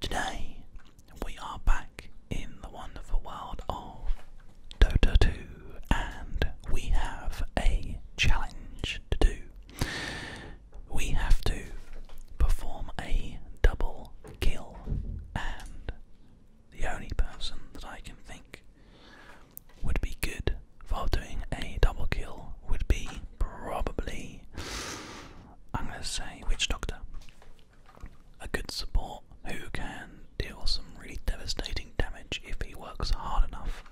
Today we are back in the wonderful world of Dota 2 and we have a challenge to do. We have to perform a double kill and the only person that I can think would be good for doing a double kill would be probably I'm gonna say Witch Doctor. A good support who can deal some really devastating damage if he works hard enough.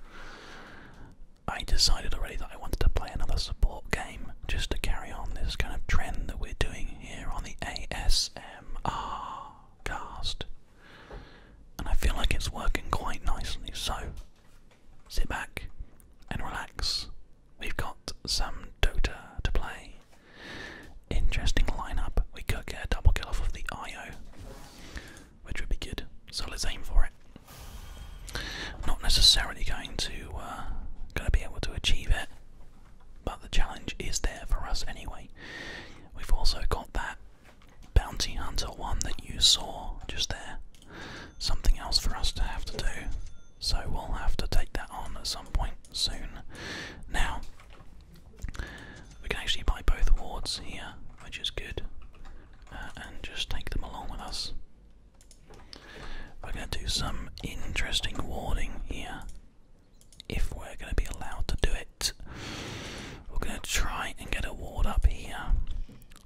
I decided already that I wanted to play another support game just to carry on this kind of trend that we're doing here on the ASMR cast. And I feel like it's working quite nicely, so sit back and relax We've got some Dota to play. Interesting lineup. We could get a double kill off of the IO, which would be good. So let's aim for it. Not necessarily going to uh, going to be able to achieve it, but the challenge is there for us anyway. We've also got that bounty hunter one that you saw just there. Something else for us to have to do. So we'll have to take that on at some point soon. Now, we can actually buy both wards here, which is good, uh, and just take them along with us. We're going to do some interesting warding here, if we're going to be allowed to do it. We're going to try and get a ward up here.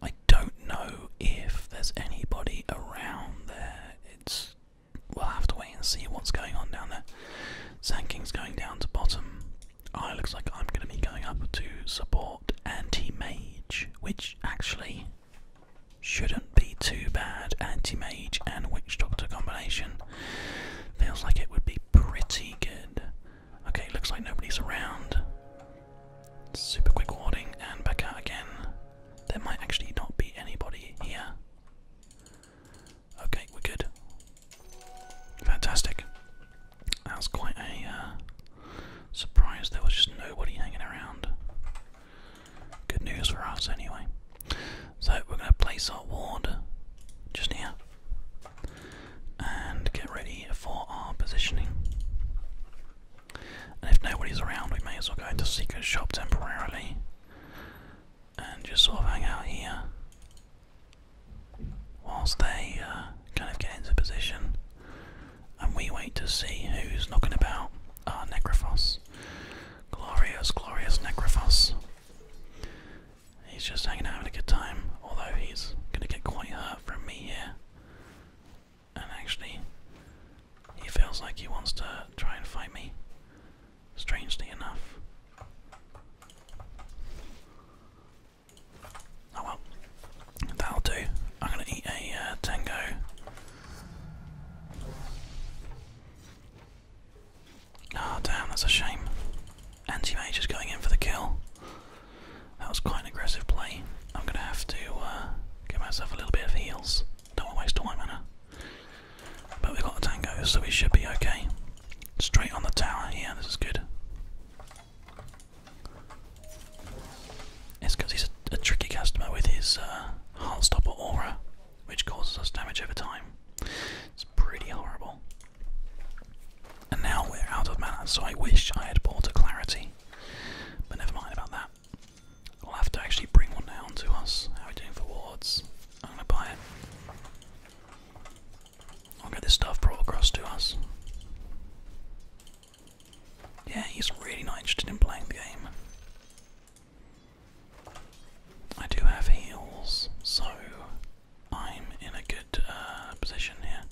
I don't know if there's anybody around there. It's we'll have to wait and see what's going on down there. Sand going down to bottom. Oh, it looks like I'm going to be going up to support Anti-Mage, which actually shouldn't be too bad. Anti-Mage and Witch Doctor combination feels like it would be pretty good. Okay, looks like nobody's around. Super quick warding and back out again. There might actually not be anybody here. Okay, we're good. Fantastic. That was quite a uh, surprise. There was just nobody hanging around. Good news for us, anyway. So, we're going to place our ward just here and get ready for our positioning. And if nobody's around, we may as well go into secret shop temporarily and just sort of hang out here whilst they uh, kind of get into position and we wait to see who's knocking about our Necrophos. Glorious, glorious Necrophos. He's just hanging out having a good time, although he's gonna get quite hurt from me here. And actually, he feels like he wants to try and fight me strangely enough. Oh well, that'll do. I'm gonna eat a uh, tango. oh, damn, that's a shame. Anti-mage is going in for the kill. That was quite an aggressive play. I'm gonna have to uh, get myself a little bit of heals. Don't want to waste time, my mana. But we've got the tango, so we should be okay. Straight on the tower, yeah, this is good. It's because he's a, tricky customer with his uh, stopper aura, which causes us damage over time. It's pretty horrible. And now we're out of mana, so I wish I had bought a Clarity. But never mind about that. I'll have to actually bring one down to us. How are we doing for wards? I'm gonna buy it. I'll get this stuff brought across to us. Yeah, he's really not interested in playing the game. I do have heels, so I'm in a good uh, position here.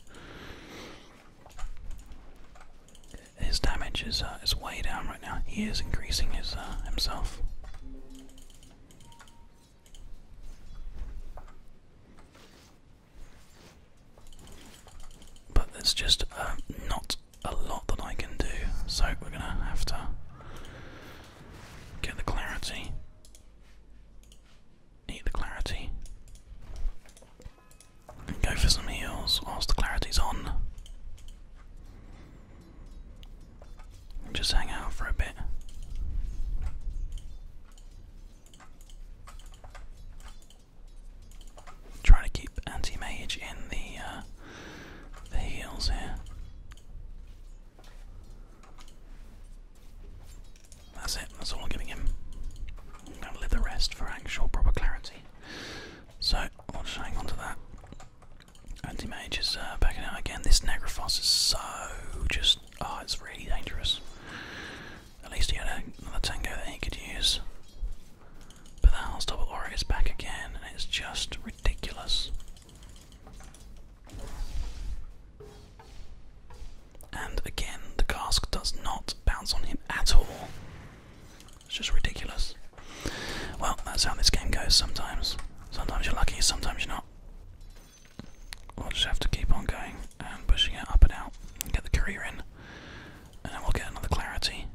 His damage is uh, is way down right now. He is increasing his uh, himself. But there's just uh, not a lot that I can do, so we're gonna have to get the clarity, eat the clarity, and go for some heals whilst the clarity's on. Just hang out for a bit. Trying to keep anti-mage in the uh, the heels here. That's it. That's all I'm giving him. I'm gonna leave the rest for actual proper clarity. So just hang on to that. Anti-mage is back uh, backing out again. This Nagrafoss is so just... Oh, it's really dangerous. At least he had another tango that he could use. But that House Double Aura is back again, and it's just ridiculous. And again, the cask does not bounce on him at all. It's just ridiculous. Well, that's how this game goes sometimes. Sometimes you're lucky, sometimes you're not. We'll just have to keep on going and pushing it up and out and get the career in. And then we'll get another clarity.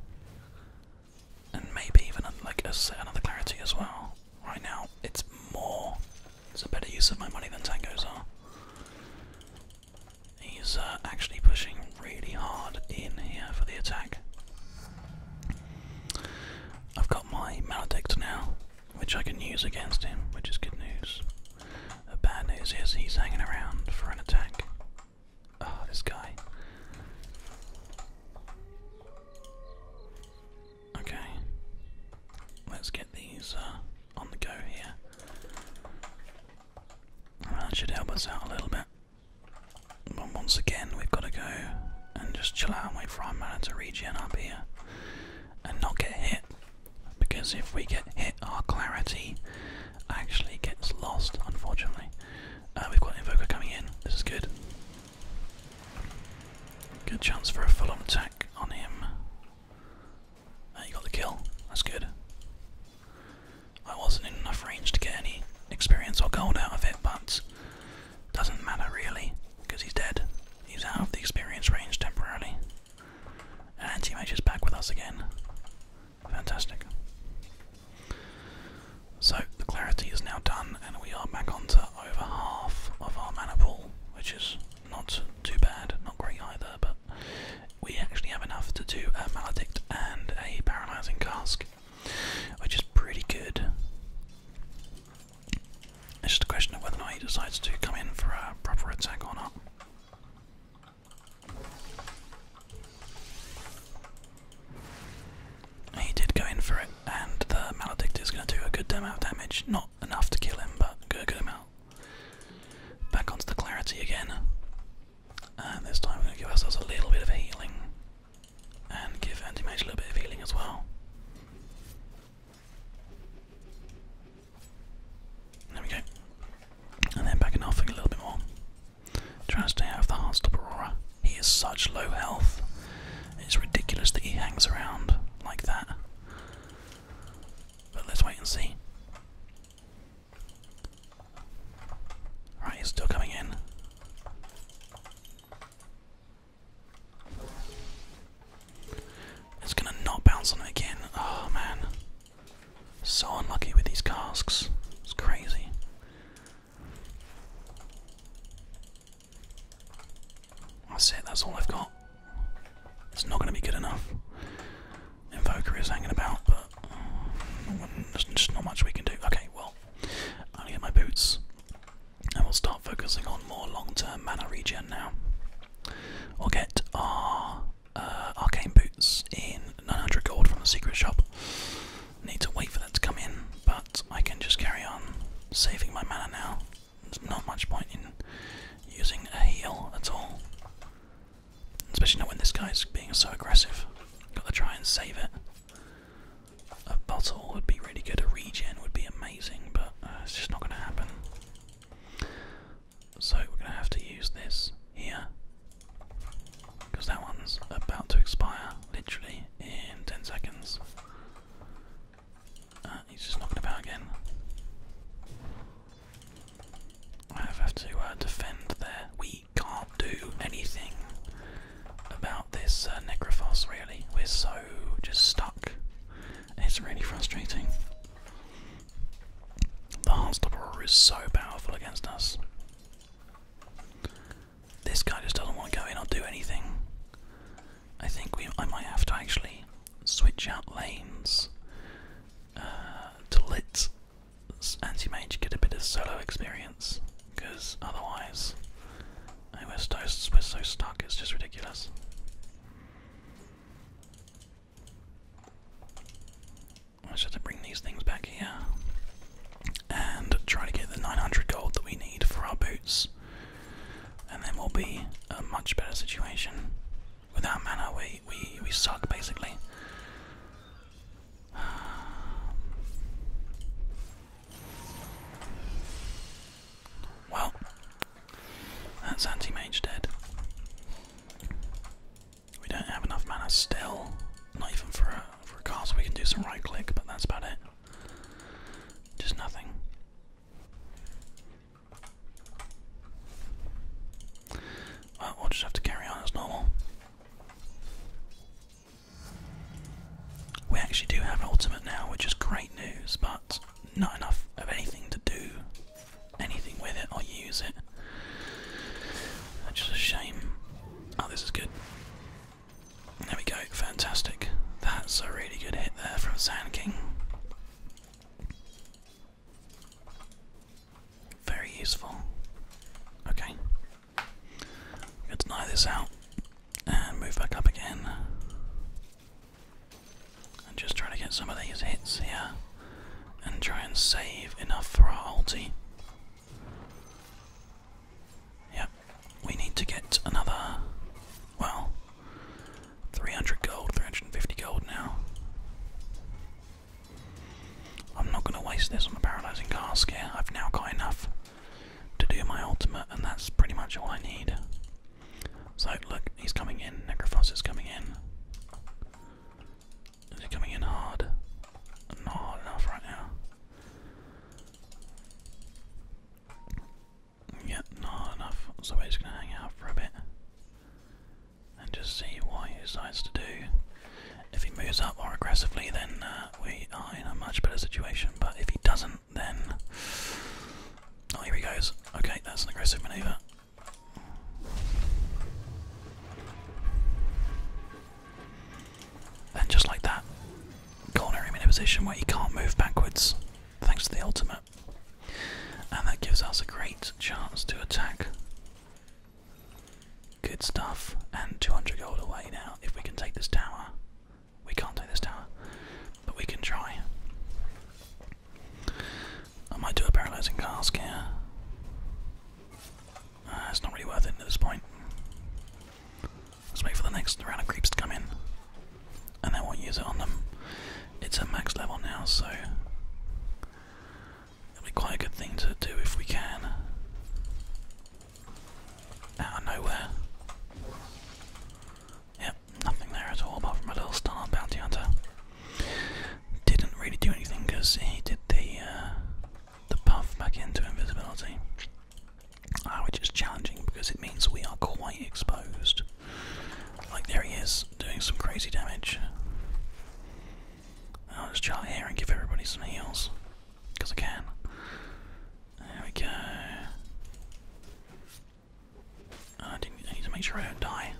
And maybe even uh, like another clarity as well. Right now, it's more. It's a better use of my money than tangos are. He's actually pushing really hard in here for the attack. I've got my maledict now, which I can use against him, which is good news. The uh, bad news is he's hanging around for an attack. Ah, oh, this guy. Okay. Let's get these uh, on the go here. should help us out a little bit. But once again, we've got to go and just chill out and wait for our mana to regen up here and not get hit. Because if we get hit, our clarity actually gets lost, unfortunately. Uh, we've got Invoker coming in, this is good. Good chance for a full on attack on him. you uh, got the kill, that's good. I wasn't in enough range to get any experience or gold out of it, but doesn't matter really, because he's dead. He's out of the experience range temporarily. And Anti-Mage is back with us again. Fantastic. So, the clarity is now done, and we are back onto over half of our mana pool, which is not too bad, not great either, but we actually have enough to do a Maledict and a Paralyzing Cask which is pretty good. It's just a question of whether or not he decides to come in for a proper attack or not. He did go in for it, and the Maledict is going to do a good amount of damage. Not enough to kill him, but a good amount. Back onto the Clarity again. And this time we're going to give ourselves a little bit of healing. And give Anti-Mage a little bit of healing as well. There we go. And then back in a little bit more. Trying to stay out of the Aurora. He is such low health. It's ridiculous that he hangs around like that. But let's wait and see. Right, he's still coming in. It's gonna not bounce on it again. Oh man. So unlucky with these casks. It's crazy. That's it, that's all I've got. It's not gonna be good enough. Invoker is hanging about, but mm, there's just not much we can do. Okay, well, I'm gonna get my boots. And we'll start focusing on more long-term mana regen now. i will get our uh, arcane boots in 900 gold from the secret shop. Need to wait for that to come in, but I can just carry on saving my mana now. There's not much point in using a heal at all. Especially not when this guy's being so aggressive. Gotta try and save it. A bottle would be really good, a regen would be amazing, but uh, it's just not going to happen. So we're going to have to use this here, because that one's about to expire, literally, in 10 seconds. Uh, he's just knocking about again. I have to uh, defend there. We can't do anything about this uh, Necrophos, really. We're so just stuck. It's really frustrating. The Heartstopper is so powerful against us. This guy just doesn't want to go in or do anything. I think we, I might have to actually switch out lanes uh, to let Anti Mage get a bit of solo experience, because otherwise we're so stuck, it's just ridiculous. I should bring these things back here and try to get the 900 gold that we need for our boots, and then we'll be a much better situation. With mana, we we we suck basically. Well, that's anti-mage dead. We don't have enough mana still, not even for a, for a castle. We can do some right click, but that's about it. Just nothing. we'll just have to carry on as normal. We actually do have an ultimate now, which is great news, but not enough of anything to do anything with it or use it. just a shame. Oh, this is good. There we go, fantastic. That's a really good hit there from Sand King. Very useful. Okay. i to deny this out. And move back up again. And just try to get some of these hits here. And try and save enough for our ulti. Yep, we need to get another, well, 300 gold, 350 gold now. I'm not going to waste this on the paralyzing cask here. I've now got enough to do my ultimate, and that's pretty much all I need. So look, he's coming in. Necrophos is coming in. Is he coming in hard? Not enough right now. Yeah, not enough. So we're just gonna hang out for a bit and just see what he decides to do. If he moves up more aggressively, then uh, we are in a much better situation. But if he doesn't, then. Oh, here he goes. Okay, that's an aggressive maneuver. And just like that, cornering him in a position where he can't move backwards, thanks to the ultimate. And that gives us a great chance to attack. Good stuff. And 200 gold away now if we can take this tower. We can't do this tower, but we can try. I might do a paralyzing cask here. Uh, it's not really worth it at this point. Let's wait for the next round of creeps to come in, and they won't use it on them. It's at max level now, so it'll be quite a good thing to do if we can. Out of nowhere. Yep, nothing there at all apart from a little star bounty hunter. Didn't really do anything because he did the uh, the puff back into invisibility, ah, which is challenging because it means we are quite exposed. Like there he is doing some crazy damage. I'll just chart here and give everybody some heals because I can. There we go. I, need to make sure I don't die.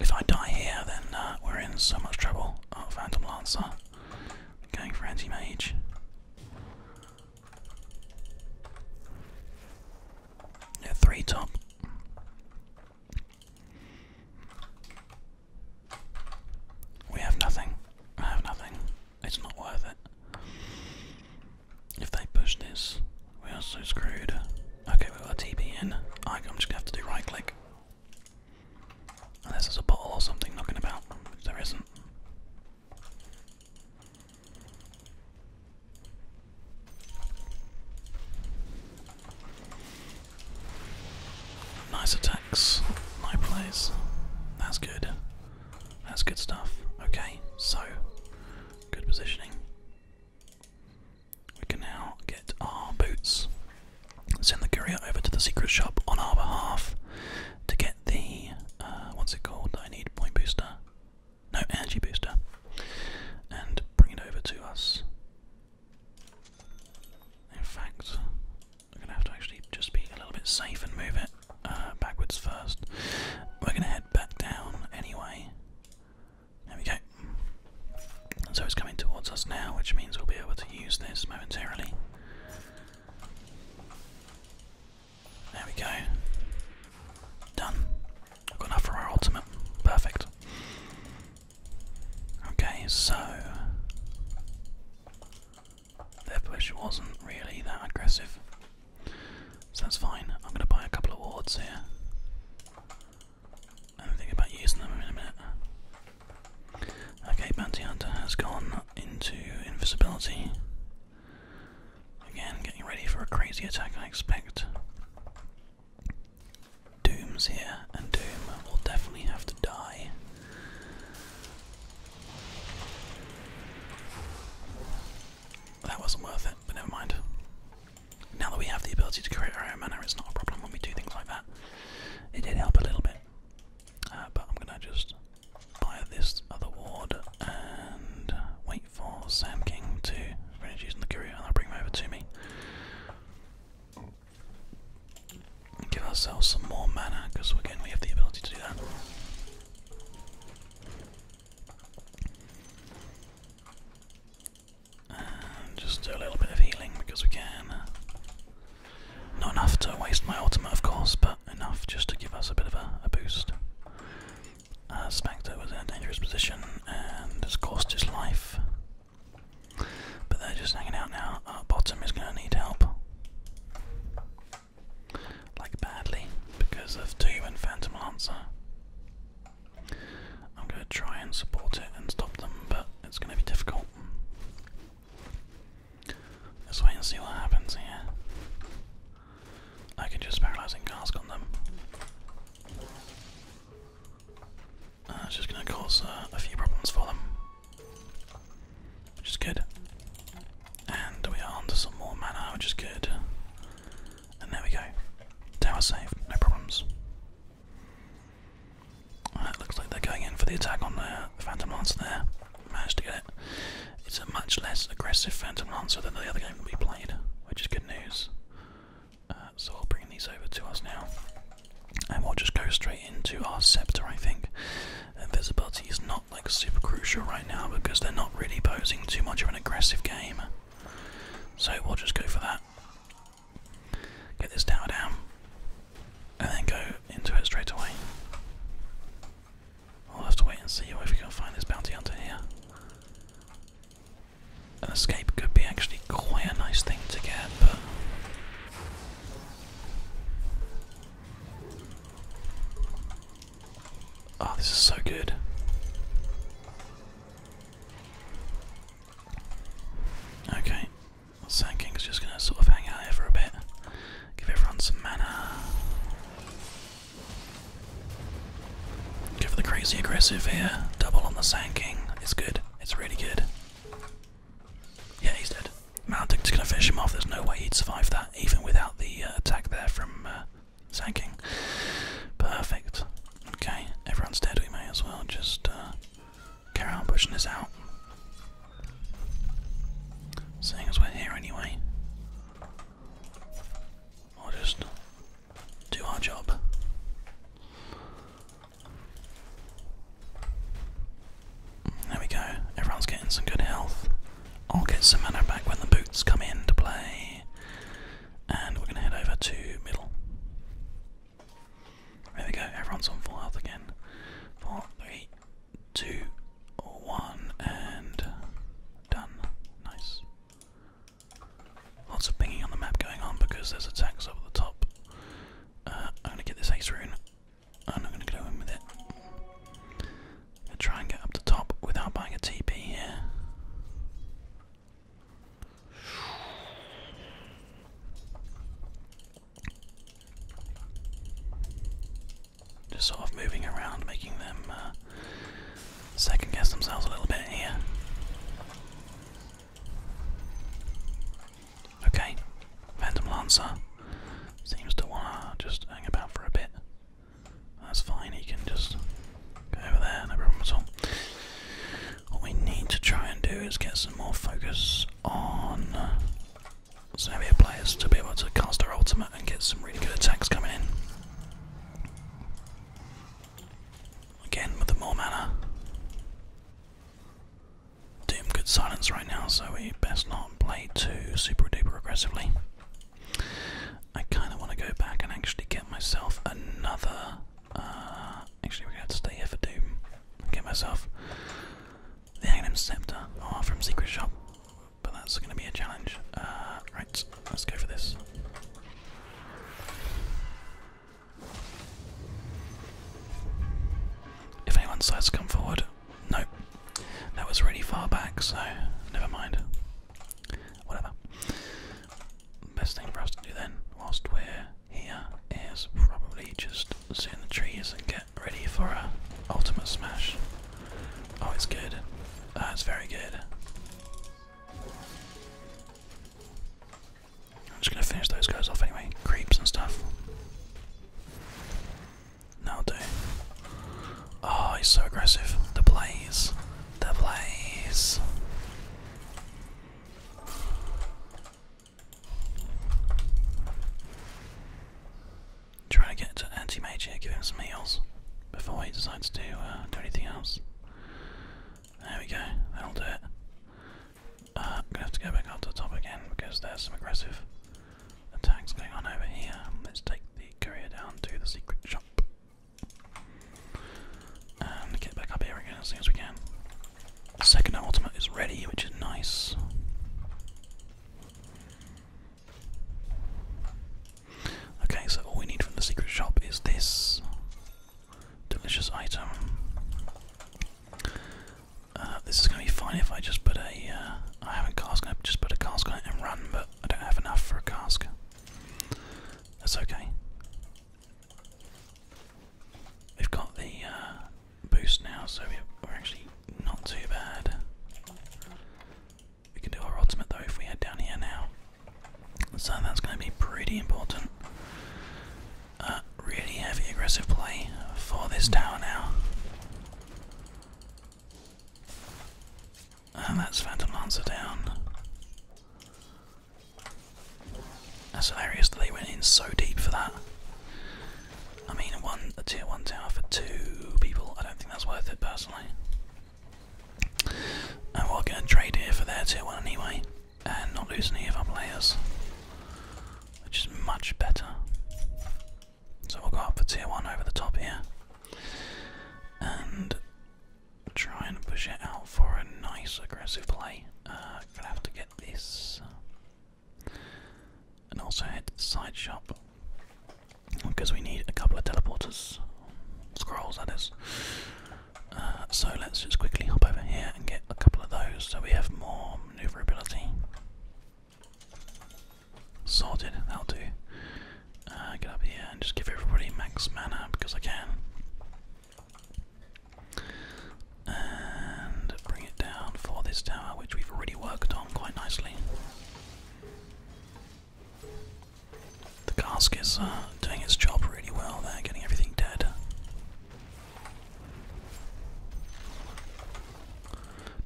If I die here, then uh, we're in so much trouble. Oh, Phantom Lancer. okay, for anti mage. Yeah, three top. We have nothing. I have nothing. It's not worth it. If they push this, we are so screwed. Okay, we've got a TP in. I'm just gonna have to do right click. Unless there's a bottle or something knocking about, which there isn't. Nice attacks, Nice plays. That's good. That's good stuff. Okay, so good positioning. We can now get our boots. Send the courier over to the secret shop on our behalf to get the uh, what's it called? I need point booster. No, energy booster. And bring it over to us. In fact, I'm gonna have to actually just be a little bit safe and move it. Uh, backwards first. We're gonna head back down anyway. There we go. So it's coming towards us now, which means we'll be able to use this momentarily. There we go. Done. I've got enough for our ultimate. Perfect. Okay, so their push wasn't really that aggressive. So that's fine. I'm going to buy a couple of wards here. And think about using them in a minute. Okay, Bounty Hunter has gone into invisibility. Again, getting ready for a crazy attack, I expect. Doom's here, and Doom will definitely have to die. That wasn't worth it, but never mind. Now that we have the ability to create our own mana, it's not a problem when we do things like that. It did help a little bit. Uh, but I'm gonna just buy this other ward and wait for Sam King to finish using the courier and I'll bring him over to me. give ourselves some more mana, because again we have the ability to do that just a little bit of healing because we can. Not enough to waste my ultimate, of course, but enough just to give us a bit of a, boost. Uh, Spectre was in a dangerous position and has cost his life. But they're just hanging out now. bottom is going to need help like badly because of two and Phantom Lancer. I'm gonna try and support it and stop them, but it's gonna be difficult. Let's wait and see what happens here. I can just paralyzing cask on them. Uh, it's just gonna cause uh, a few problems for them which is good. And we are onto some more mana, which is good. And there we go. Tower safe, no problems. it looks like they're going in for the attack on the Phantom Lancer there. Managed to get it. It's a much less aggressive Phantom monster than the other game we'll be playing, which is good news. Uh, so I'll bring these over to us now. And we'll just go straight into our Scepter, I think. Invisibility is not like super crucial right now because they're not really posing too much of an aggressive game. So we'll just go for that. Get this tower down. And then go into it straight away. i will have to wait and see if we can find this bounty hunter here. An escape could be actually quite a nice thing to get, but. Oh, this is so good. Okay, Sand is just gonna sort of hang out here for a bit, give everyone some mana. Go for the crazy aggressive here. Double on the Sand King. It's good. It's really good. Yeah, he's dead. just gonna finish him off. There's no way he'd survive that even without the uh, attack there from uh, Perfect. Okay, everyone's dead. We may as well just uh, carry on pushing this out. Seeing as we're here anyway, I'll just do our job. There we go. Everyone's getting some good health. I'll get some back when the boots come into play. And we're going to head over to middle. There we go, everyone's on full health again. Four, three, two, one, and done. Nice. Lots of pinging on the map going on because there's attacks up the top. Uh, I'm going to get this ace rune I'm going to go in with it. I'll try and get up the top without buying a TP here. Just sort of moving around, making them uh, second guess themselves a little bit here. Okay, Phantom Lancer seems to want to just hang about for a bit. That's fine, he can just go over there, no problem at all. What we need to try and do is get some more focus on Xavier players to be able to cast their ultimate and get some really good attacks coming in. Again, with the more mana. Doom good silence right now, so we best not play too super duper aggressively. I kind of want to go back and actually get myself another. Uh, actually, we have to stay here for Doom. Get myself the Aghanim Scepter oh, from Secret Shop. But that's going to be a challenge. Uh, right, let's go for this. If anyone decides to come forward, nope. That was really far back, so never mind. Whatever. Best thing for us to do then, whilst we're here, is probably just sit in the trees and get ready for a ultimate smash. Oh, it's good. That's ah, very good. I'm just gonna finish those guys off anyway, creeps and stuff. Now do. Oh, he's so aggressive. The blaze, The blaze. Trying to get to anti-mage here, give him some heals before he decides to uh, do anything else. There we go, that'll do it. Uh, gonna have to go back up to the top again because there's some aggressive attacks going on over here. Let's take the courier down to the secret shop. And get back up here again as soon as we can. second ultimate is ready, which is nice. Okay, so all we need from the secret shop is this delicious item. Uh, this is going to be fine if I just put a. Uh, haven't cast. I just put a cask on it and run, but I don't have enough for a cask. That's okay. We've got the uh, boost now, so we're actually not too bad. We can do our ultimate though if we head down here now. So that's going to be pretty important. Uh, really heavy aggressive play for this tower now. And that's Phantom Lancer down. That's hilarious that they went in so deep for that. I mean, one, a tier 1 tower for two people, I don't think that's worth it personally. And we're get a trade here for their tier 1 anyway, and not lose any of our players, which is much better. So we'll go up for tier 1 over the top here and try and push it out for a nice aggressive play. Uh, gonna have to get this, uh, and also head to the side shop because we need a couple of teleporters, scrolls that is. Uh, so let's just quickly hop over here and get a couple of those so we have more maneuverability. Sorted, that'll do. Uh, get up here and just give everybody max mana because I can. And bring it down for this tower, which we've already worked on quite nicely. The cask is uh, doing its job really well there, getting everything dead.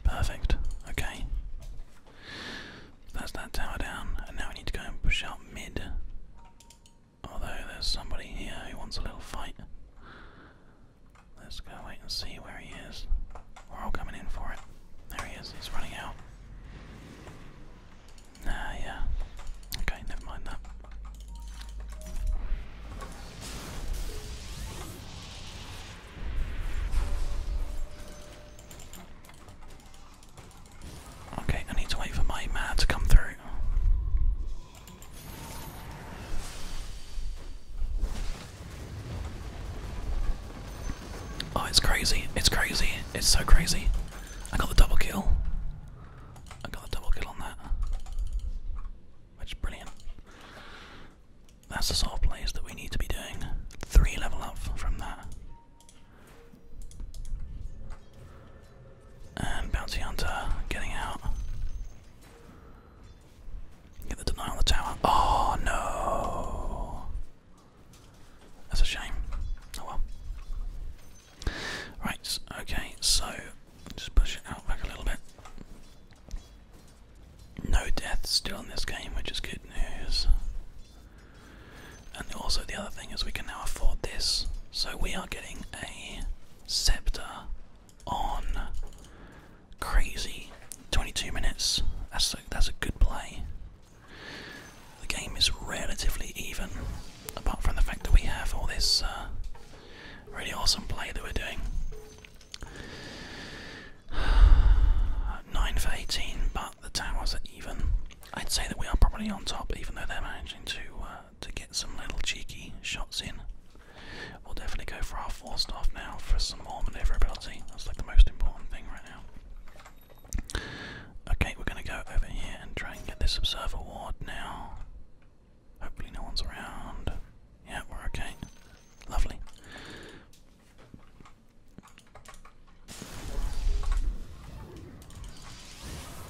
Perfect, okay. That's that tower down, and now we need to go and push out mid. Although there's somebody here who wants a little fight. Let's go wait and see where he is. We're all coming in for it. There he is, he's running out. Ah, yeah. Okay, never mind that. Okay, I need to wait for my man to come through. Oh, it's crazy. It's crazy. It's so crazy. I got the double kill. I got the double kill on that. Which is brilliant. That's the sort of plays that we need to be doing. Three level up from that. And Bounty Hunter getting out. Get the deny on the tower. Oh no! That's a shame. Oh well. Right, okay, so just push it out back a little bit. No deaths still in this game, which is good news. And also, the other thing is, we can now afford this. So, we are getting a scepter on crazy 22 minutes. That's a, that's a good play. The game is relatively even, apart from the fact that we have all this uh, really awesome play that we're doing. 9 for 18, but the towers are even. I'd say that we are probably on top, even though they're managing to uh, to get some little cheeky shots in. We'll definitely go for our four staff now for some more maneuverability. That's like the most important thing right now. Okay, we're going to go over here and try and get this observer ward now. Hopefully, no one's around. Yeah, we're okay. Lovely.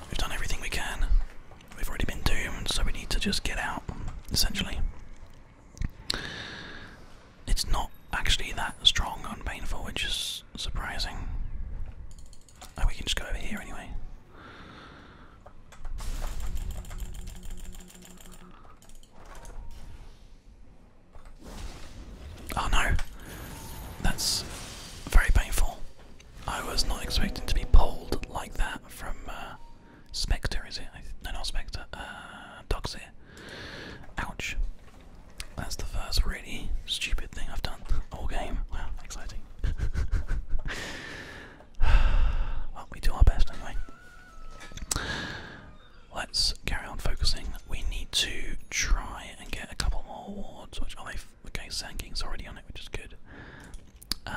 We've done everything we can. We've already been doomed, so we need to just get out, essentially. It's not actually that strong and painful, which is surprising. Oh, we can just go over here anyway. Oh no, that's very painful. I was not expecting to be pulled like that from uh, Spectre, is it? No, not Spectre, uh, Doxir. Ouch. That's the first really stupid thing I've done all game. Wow, exciting. well, we do our best anyway. Let's carry on focusing. We need to try and get a couple more wards. which oh, they okay, Sand King's already on it, which is good. Um,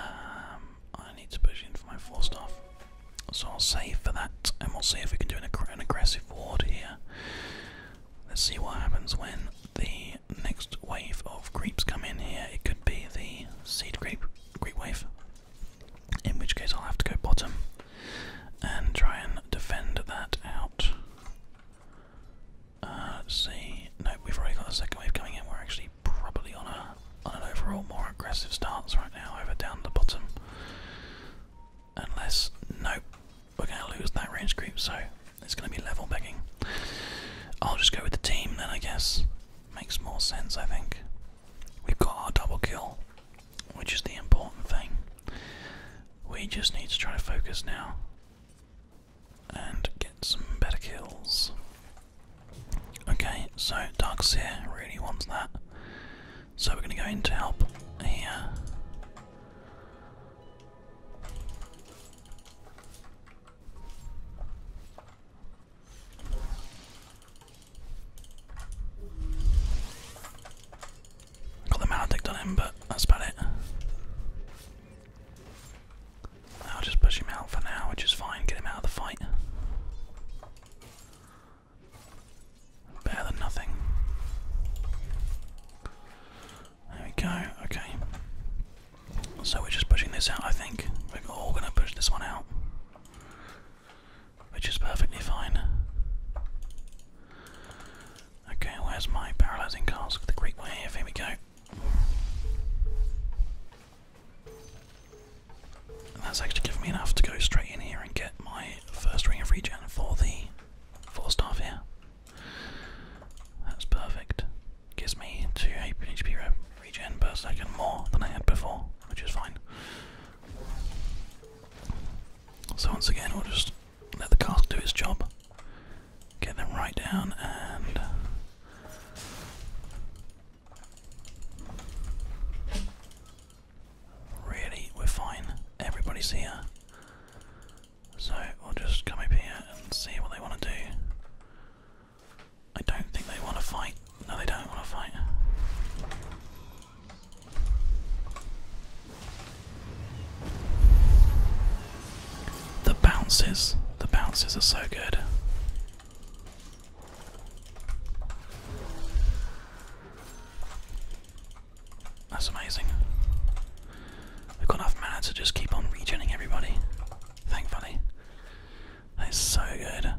I need to push in for my four stuff, so I'll save for that, and we'll see if we can do an aggressive ward here. Let's see what happens when the next wave of creeps come in here. It could be the seed creep, creep wave, in which case I'll have to go bottom and try and defend that out. see. Uh, no, we've already got a second wave coming in. We're actually probably on a on an overall more aggressive stance right now, over down the bottom. Unless nope, we're gonna lose that range creep, so it's gonna be level begging. I'll just go with the team then, I guess. Makes more sense, I think. We've got our double kill, which is the important thing. We just need to try to focus now and get some better kills. Okay, so Darkseer really wants that. So we're gonna go in to help here. Got the mana on him, but that's about it. I'll just push him out for now, which is fine, get him out of the fight. Better than nothing. There we go, okay. So we're just pushing this out, I think. We're all gonna push this one out. Which is perfectly fine. Okay, where's my paralysing cask? The Greek wave, here Here we go. that's actually given me enough to go straight in here and get my first ring of regen for the four staff here. That's perfect. Gives me 2 HP regen per second more than I had before, which is fine. So once again, we'll just let the cask do its job. Get them right down and. Really, we're fine. Everybody's here. So we'll just come up here and see what they want to do. I don't think they want to fight. No, they don't want to fight. The bounces, the bounces are so good. That's amazing. We've got enough mana to just keep on regening everybody, thankfully. That is so good.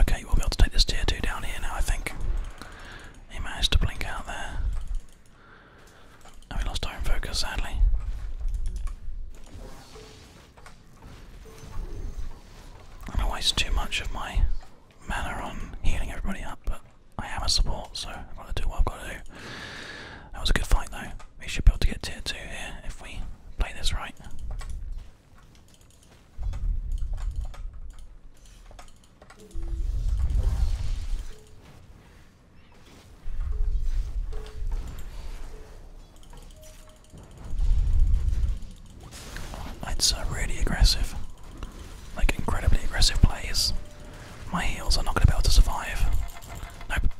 Okay, we'll be able to take this tier 2 down here now, I think. He managed to blink out there. we lost our own focus, sadly. I don't waste too much of my mana on healing everybody up, but I am a support, so I've got to do what I've got to do. That was a good fight, though. We should be able to get tier 2 here if we play this right. It's uh, really aggressive. Like incredibly aggressive plays. My heels are not going to be able to survive. Nope.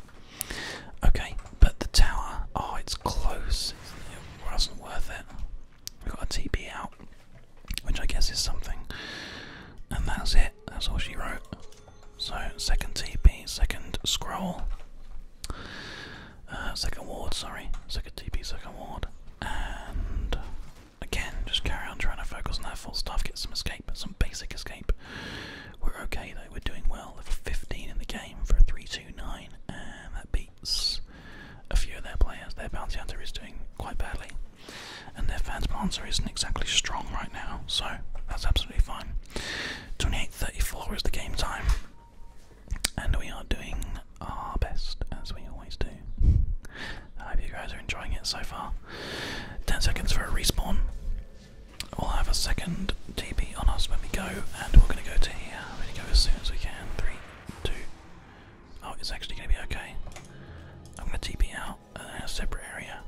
Okay, but the tower. Oh, it's close. It wasn't worth it. We've got a TP out which I guess is something. And that's it, that's all she wrote. So, second TP, second scroll, uh, second ward, sorry, second TP, second ward. And again, just carry on trying to focus on that full stuff, get some escape, some basic escape. We're okay though, we're doing well. Level 15 in the game for a 329, and that a few of their players. Their bounty hunter is doing quite badly, and their fans planter isn't exactly strong right now, so that's absolutely fine. 28.34 is the game time, and we are doing our best as we always do. I hope you guys are enjoying it so far. 10 seconds for a respawn. We'll have a second TP on us when we go, and we're going to go to here. We're going to go as soon as we can. 3, 2, Oh, it's actually going to be okay. I'm going to TP out uh, a separate area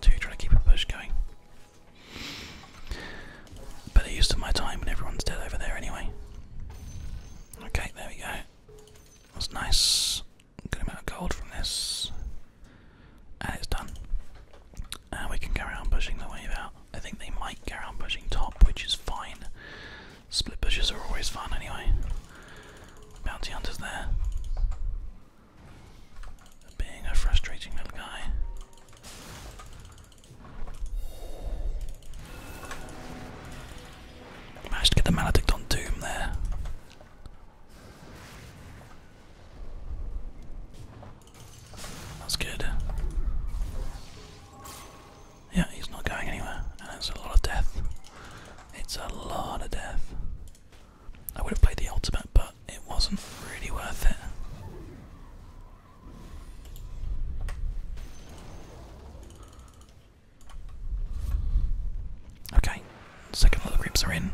to try to keep a push going. Better use of my time when everyone's dead over there anyway. Okay, there we go. That's nice. Good amount of gold from this. And it's done. And uh, we can carry on pushing the wave out. I think they might carry on pushing top, which is fine. Split bushes are always fun anyway. Bounty hunters there. Being a frustrating little guy. Managed to get the Maledict on Doom there. That's good. Yeah, he's not going anywhere. And it's a lot of death. It's a lot of death. I would have played the ultimate, but it wasn't really worth it. Okay, second lot groups are in.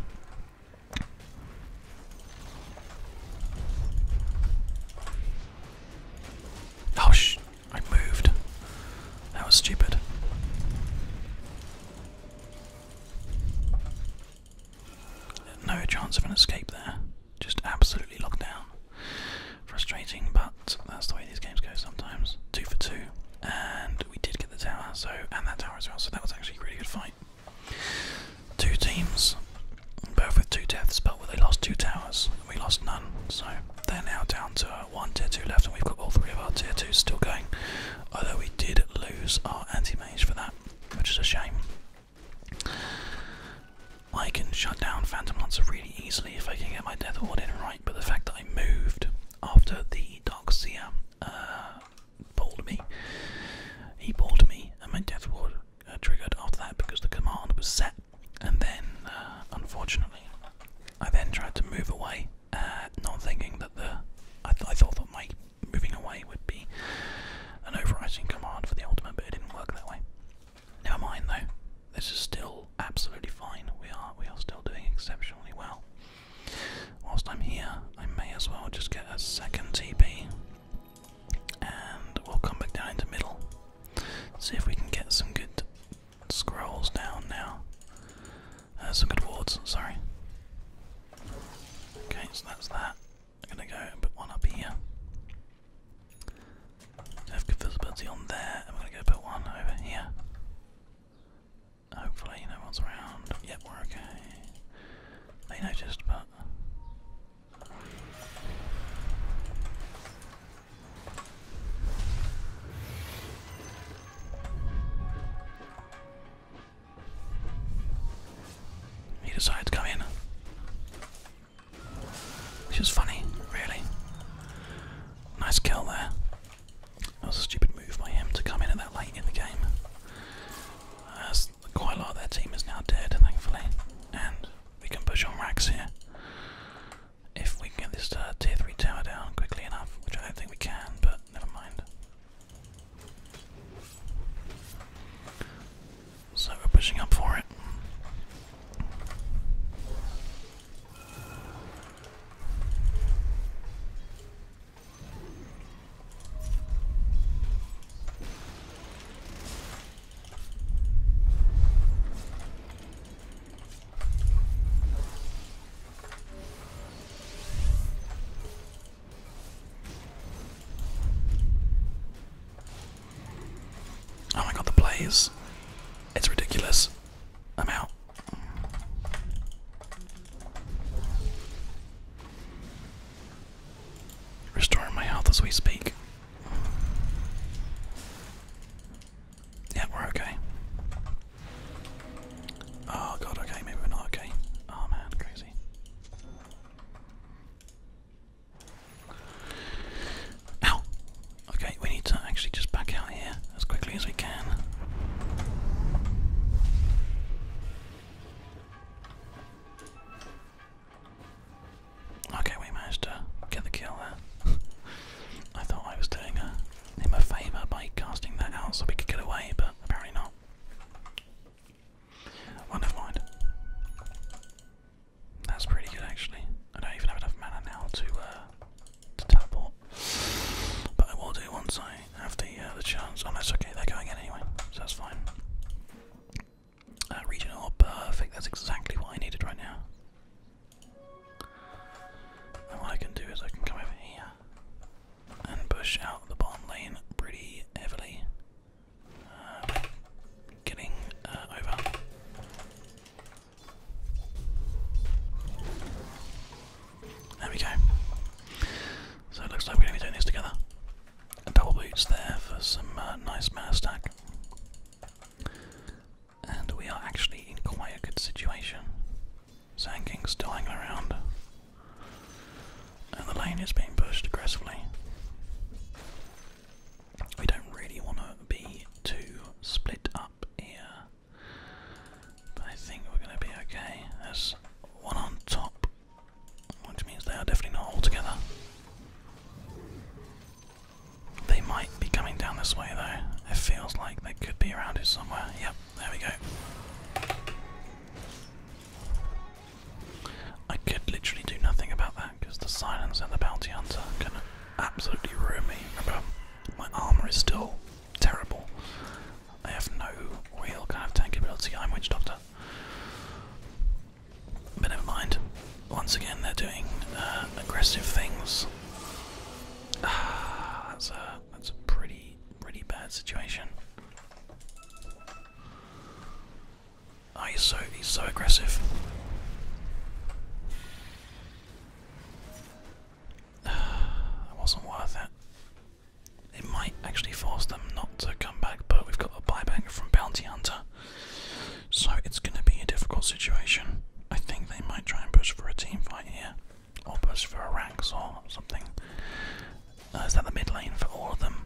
Oh, sh I moved. That was stupid. No chance of an escape there. Just absolutely locked down. Frustrating, but that's the way these games go sometimes. Two for two, and we did get the tower, so and that tower as well. So that was actually a really good fight. Two teams, both with two deaths, but they lost two towers we lost none. So they're now down to one tier 2 left, and we've got all three of our tier 2s still going. Although we did lose our anti mage for that, which is a shame. I can shut down Phantom Lancer really easily if I can get my Death order in right, but the fact that I moved after the Dark Seer uh, me, he balled me, and my Death order uh, triggered after that because the command was set and then, uh, unfortunately, I then tried to move away, uh, not thinking that the. I, thought that my moving away would be an overriding command for the ultimate, but it didn't work that way. Never mind though. This is still absolutely fine. We are we are still doing exceptionally well. Whilst I'm here, I may as well just get a second TP, and we'll come back down into middle. See if we can get some good scrolls down now. Uh, some good wards, sorry. Okay, so that's that. I'm gonna go put one up here. have good visibility on there. I'm gonna go put one over here. Hopefully no one's around. Yep, we're okay. They noticed, but he decided to come in. Which is funny, really. Nice kill there. That was a stupid move by him to come in at that late in the game. As quite a lot of their team is now dead, thankfully. And we can push on racks here if we can get this uh, tier 3 tower down quickly enough, which I don't think we can, but never mind. So we're pushing up for it. Oh my god, the plays. It's ridiculous. I'm out. Restoring my health as we speak. Yeah, we're okay. Oh god, okay, maybe we're not okay. Oh man, crazy. Ow! Okay, we need to actually just back out here as quickly as we can. Okay, we managed to get the kill there. I thought I was doing a him my favour by casting that out so we could get away, but apparently not. Well, oh, That's pretty good actually. I don't even have enough mana now to uh, to teleport, but I will do once I have the uh, the chance. Oh, that's okay. They're going in anyway, so that's fine. Uh, regional, perfect. That's exactly what I needed right now. And what I can do is I can come over here and push out the bottom lane pretty heavily. Uh, getting uh, over. There we go. So it looks like we're going to be doing this together. double boots there for some uh, nice mass stack. And we are actually in quite a good situation. Zanking's still hanging around. And the lane is being pushed aggressively. We don't really want to be too split up here. But I think we're going to be okay. There's one on top, which means they are definitely not all together. They might be coming down this way though. It feels like they could be around here somewhere. Yep, there we go. I could literally do nothing about that because the silence and the bounty hunter can absolutely ruin me. my armor is still terrible. I have no real kind of tank ability. I'm Witch Doctor. But never mind. Once again, they're doing uh, aggressive things. Ah, that's a that's a pretty pretty bad situation. Oh, he's so he's so aggressive. that wasn't worth it. It might actually force them not to come back, but we've got a buyback from Bounty Hunter, so it's going to be a difficult situation. I think they might try and push for a team fight here. Opus for Arax or something. Uh, is that the mid lane for all of them?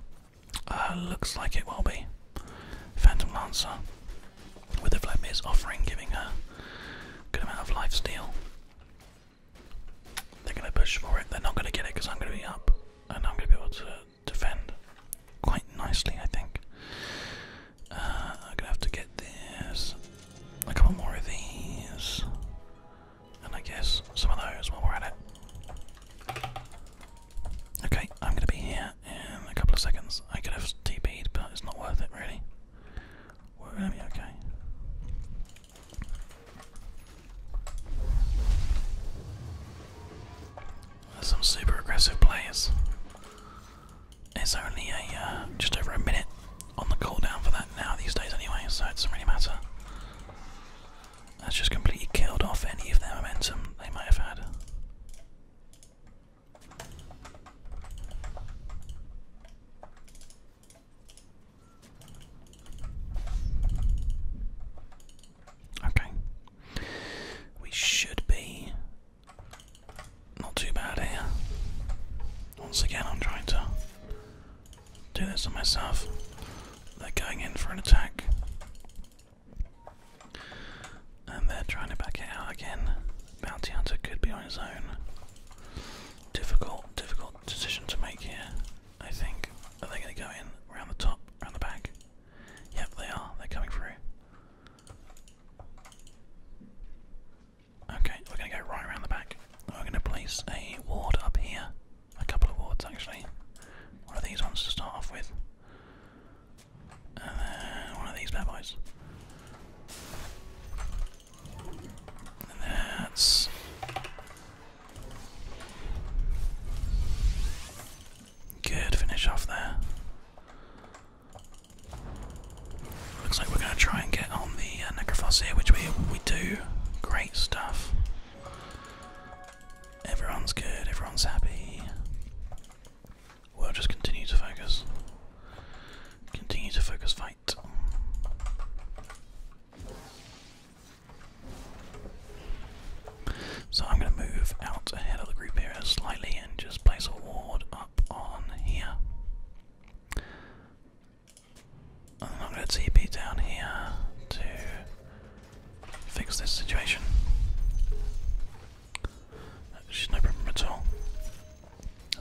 Uh, looks like it will be. Phantom Lancer with the Vladimir's offering giving her a good amount of life steal. They're going to push for it. They're not going to get it because I'm going to be up and I'm going to be able to defend quite nicely, I think. Uh, I'm gonna have to get this, a couple more of these, and I guess some of those while we're at it. Okay, I'm gonna be here in a couple of seconds. I could have TP'd, but it's not worth it really. We're gonna be okay. some super aggressive players. It's only a uh, just over a minute on the cooldown for that now these days anyway, so it doesn't really matter. That's just completely killed off any of their momentum they might have had. Okay. We should be not too bad here. Once again, I'm trying to do this on myself. They're going in for an attack. And they're trying to back it out again. Bounty Hunter could be on his own. Difficult, difficult decision to make here, I think. Are they going to go in around the top, around the back? Yep, they are. They're coming through. Okay, we're going to go right around the back. We're going to place a ward up here. A couple of wards, actually. One of these ones to start off with. And then one of these bad boys. that's. Good finish off there. Looks like we're going to try and get on the uh, necrophos here, which we we do. Great stuff. Everyone's good. Everyone's happy. We'll just continue to focus. Continue to focus. Fight. So I'm going to move out ahead of the group here slightly and just place a ward up on here. I'm going to TP down here to fix this situation. She's no problem at all.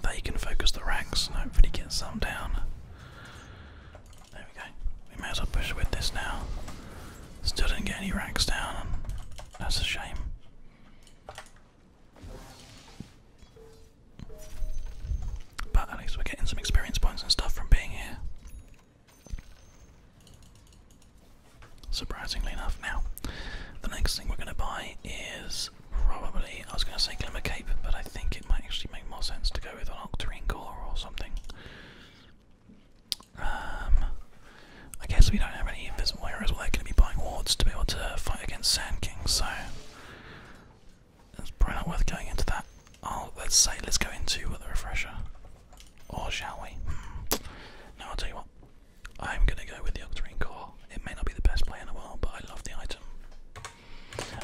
They can focus the ranks and hopefully get some down. There we go. We may as well push with this now. Still didn't get any ranks down. That's a shame. But at least we're getting some experience points and stuff from being here. Surprisingly enough, now the next thing we're going to buy is probably I was going to say glimmer cape, but I think it might actually make more sense to go with an octarine gore or something. Um, I guess we don't have any invisible heroes. We're going to be buying wards to be able to fight against Sand Kings. so it's probably not worth going into that. Oh, let's say let's go into the refresher. Or shall we? No, I'll tell you what. I'm gonna go with the Octarine Core. It may not be the best play in the world, but I love the item.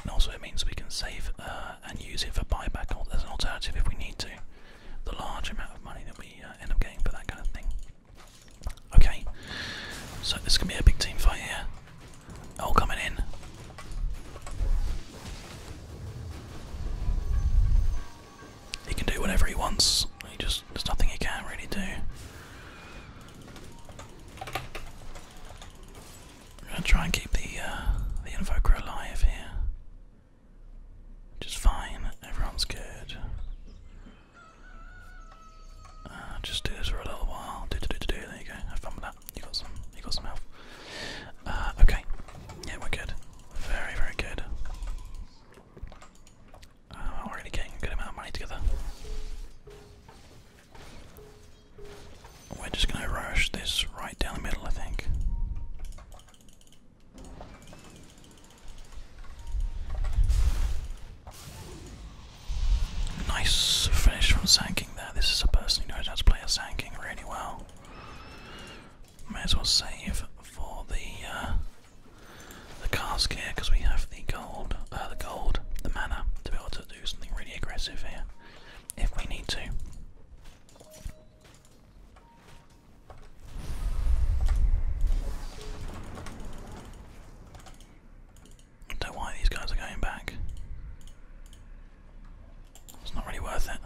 And also it means we can save uh, and use it for buyback as an alternative if we need to. The large amount of money that we uh, end up getting for that kind of thing. Okay, so this can be a big team fight here. All coming in. He can do whatever he wants. He just there's nothing he can really do. I'm gonna try and keep the uh, the invoker alive here. Just fine. Everyone's good. Uh, just do this for a little while. Do do do do do. There you go. Have fun with that. You got some. You got some health. Uh, okay. Yeah, we're good. Very very good. Uh, we're already getting a good amount of money together. We're just gonna rush this right down the middle, I think. Nice finish from Sanking there. This is a person who knows how to play a Sanking really well. May as well save for the uh, the cask here because we have the gold, uh, the gold, the mana to be able to do something really aggressive here if we need to. I don't know why these guys are going back. It's not really worth it.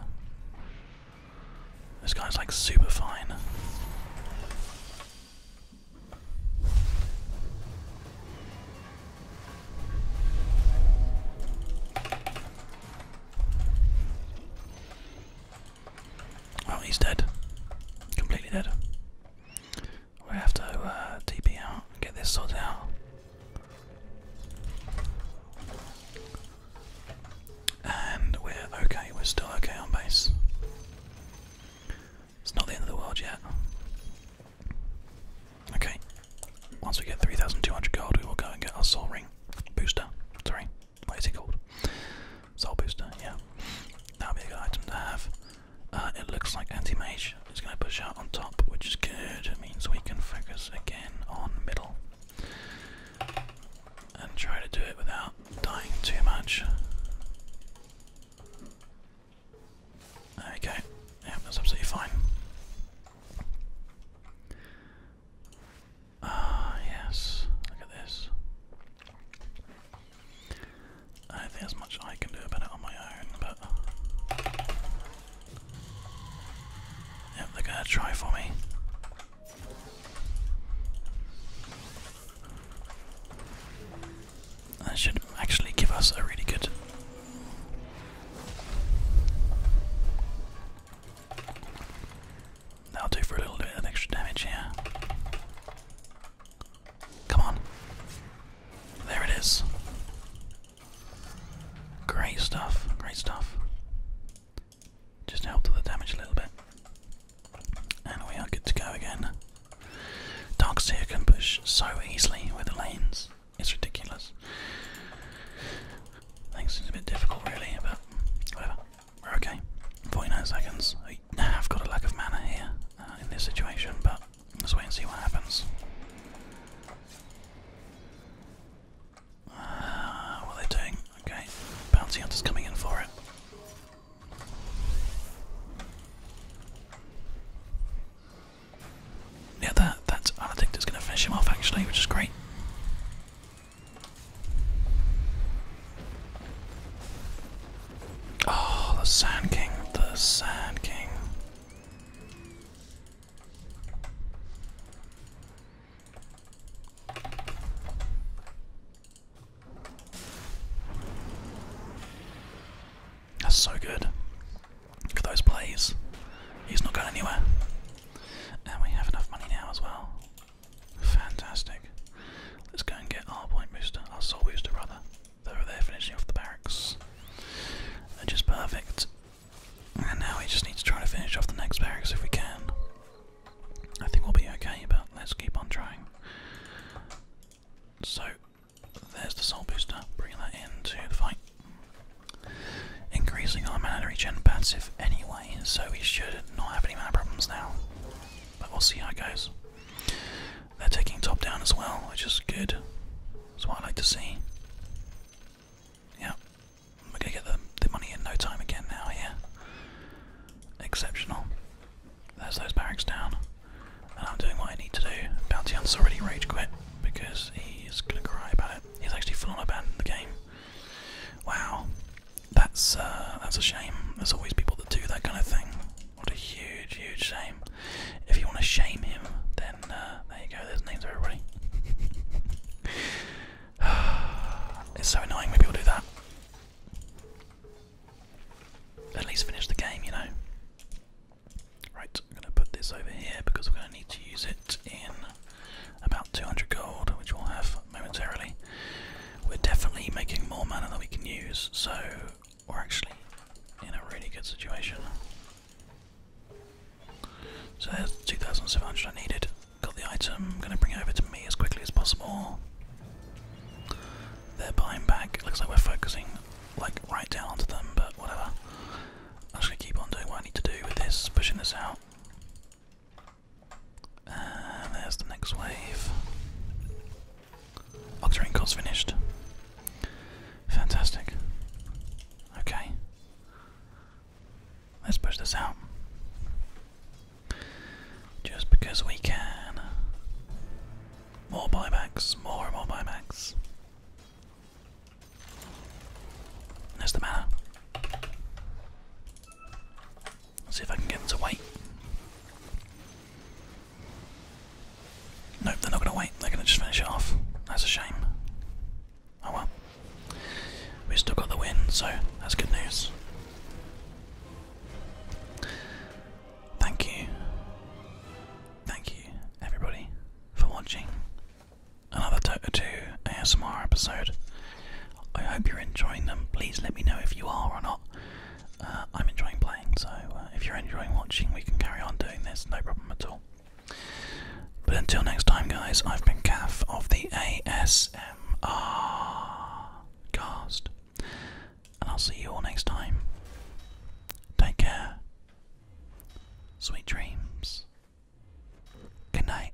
This guy's like super fine. Oh, he's dead. Completely dead. We have to TP uh, out get this sorted out. And we're okay, we're still okay on base. It's not the end of the world yet. Okay, once we get 3,200 gold, we will go and get our soul ring booster. Sorry, what is it called? Soul booster, yeah. That'll be a good item to have. Uh, it looks like anti-mage is going to push out on top, which is good. It means we can focus again on middle and try to do it without dying too much. Okay, we go. Yeah, absolutely fine. Ah, yes. Look at this. I don't think there's much I can do about it on my own, but Yep, they're gonna try for me. That should actually give us a really good That'll do for a little bit of extra damage yeah. Come on. There it is. Great stuff. Great stuff. Just helped with the damage a little bit. And we are good to go again. Darkseer can push so easily with the lanes. It's ridiculous. Things seems a bit difficult really, but whatever. We're okay. 49 seconds. I have got a lack of mana here uh, in this situation, but Let's wait and see what happens. Uh, what are they doing? Okay, bounty hunter's coming in for it. Yeah, that that's Aladicta's gonna finish him off actually, which is great. Oh, the Sand King, the Sand King. That's so good. Look at those plays. He's not going anywhere. And we have enough money now as well. Fantastic. Let's go and get our point booster, our soul booster, brother over there finishing off the barracks. They're just perfect. And now we just need to try to finish off the next barracks if we can. I think we'll be okay, but let's keep on trying. So, there's the soul booster, bringing that into the fight. Increasing our mana regen passive anyway, so we should not have any mana problems now. But we'll see how it goes. They're taking top down as well, which is good. That's what I like to see. Yeah, we're gonna get the, the money in no time again now, yeah. Exceptional. There's those barracks down. And I'm doing what I need to do. Bounty Hunt's already rage quit because he's gonna cry about it. He's actually full on abandoned the game. Wow. That's uh, that's a shame. There's always people that do that kind of thing. What a huge, huge shame. If you want to shame him, then uh, there you go, there's names everybody. it's so annoying Maybe we'll do that. At least finish the game, you know. Right, I'm going to put this over here because we're going to need to use it in about 200 gold, which we'll have momentarily. We're definitely making more mana than we can use, so we're actually in a really good situation. So there's 2,700 I needed. Got the item, I'm gonna bring it over to me as quickly as possible. They're buying back. Looks like we're focusing like right down onto them, but whatever. I'm just gonna keep on doing what I need to do with this, pushing this out. And there's the next wave. Octarine core's finished. Fantastic. Okay. Let's push this out. Just because we can. More buybacks, more and more buybacks. There's the manor. see if I can get them to wait. Nope, they're not going to wait. They're going to just finish off. That's a shame. Oh well. We still got the win, so that's good news. Thank you. Thank you, everybody, for watching another Dota 2 ASMR episode. I hope you're enjoying them. Please let me know if you are or not. Uh, I'm enjoying playing, so. Uh, if you're enjoying watching, we can carry on doing this, no problem at all. But until next time, guys, I've been Caf of the ASMR cast, and I'll see you all next time. Take care. Sweet dreams. Good night.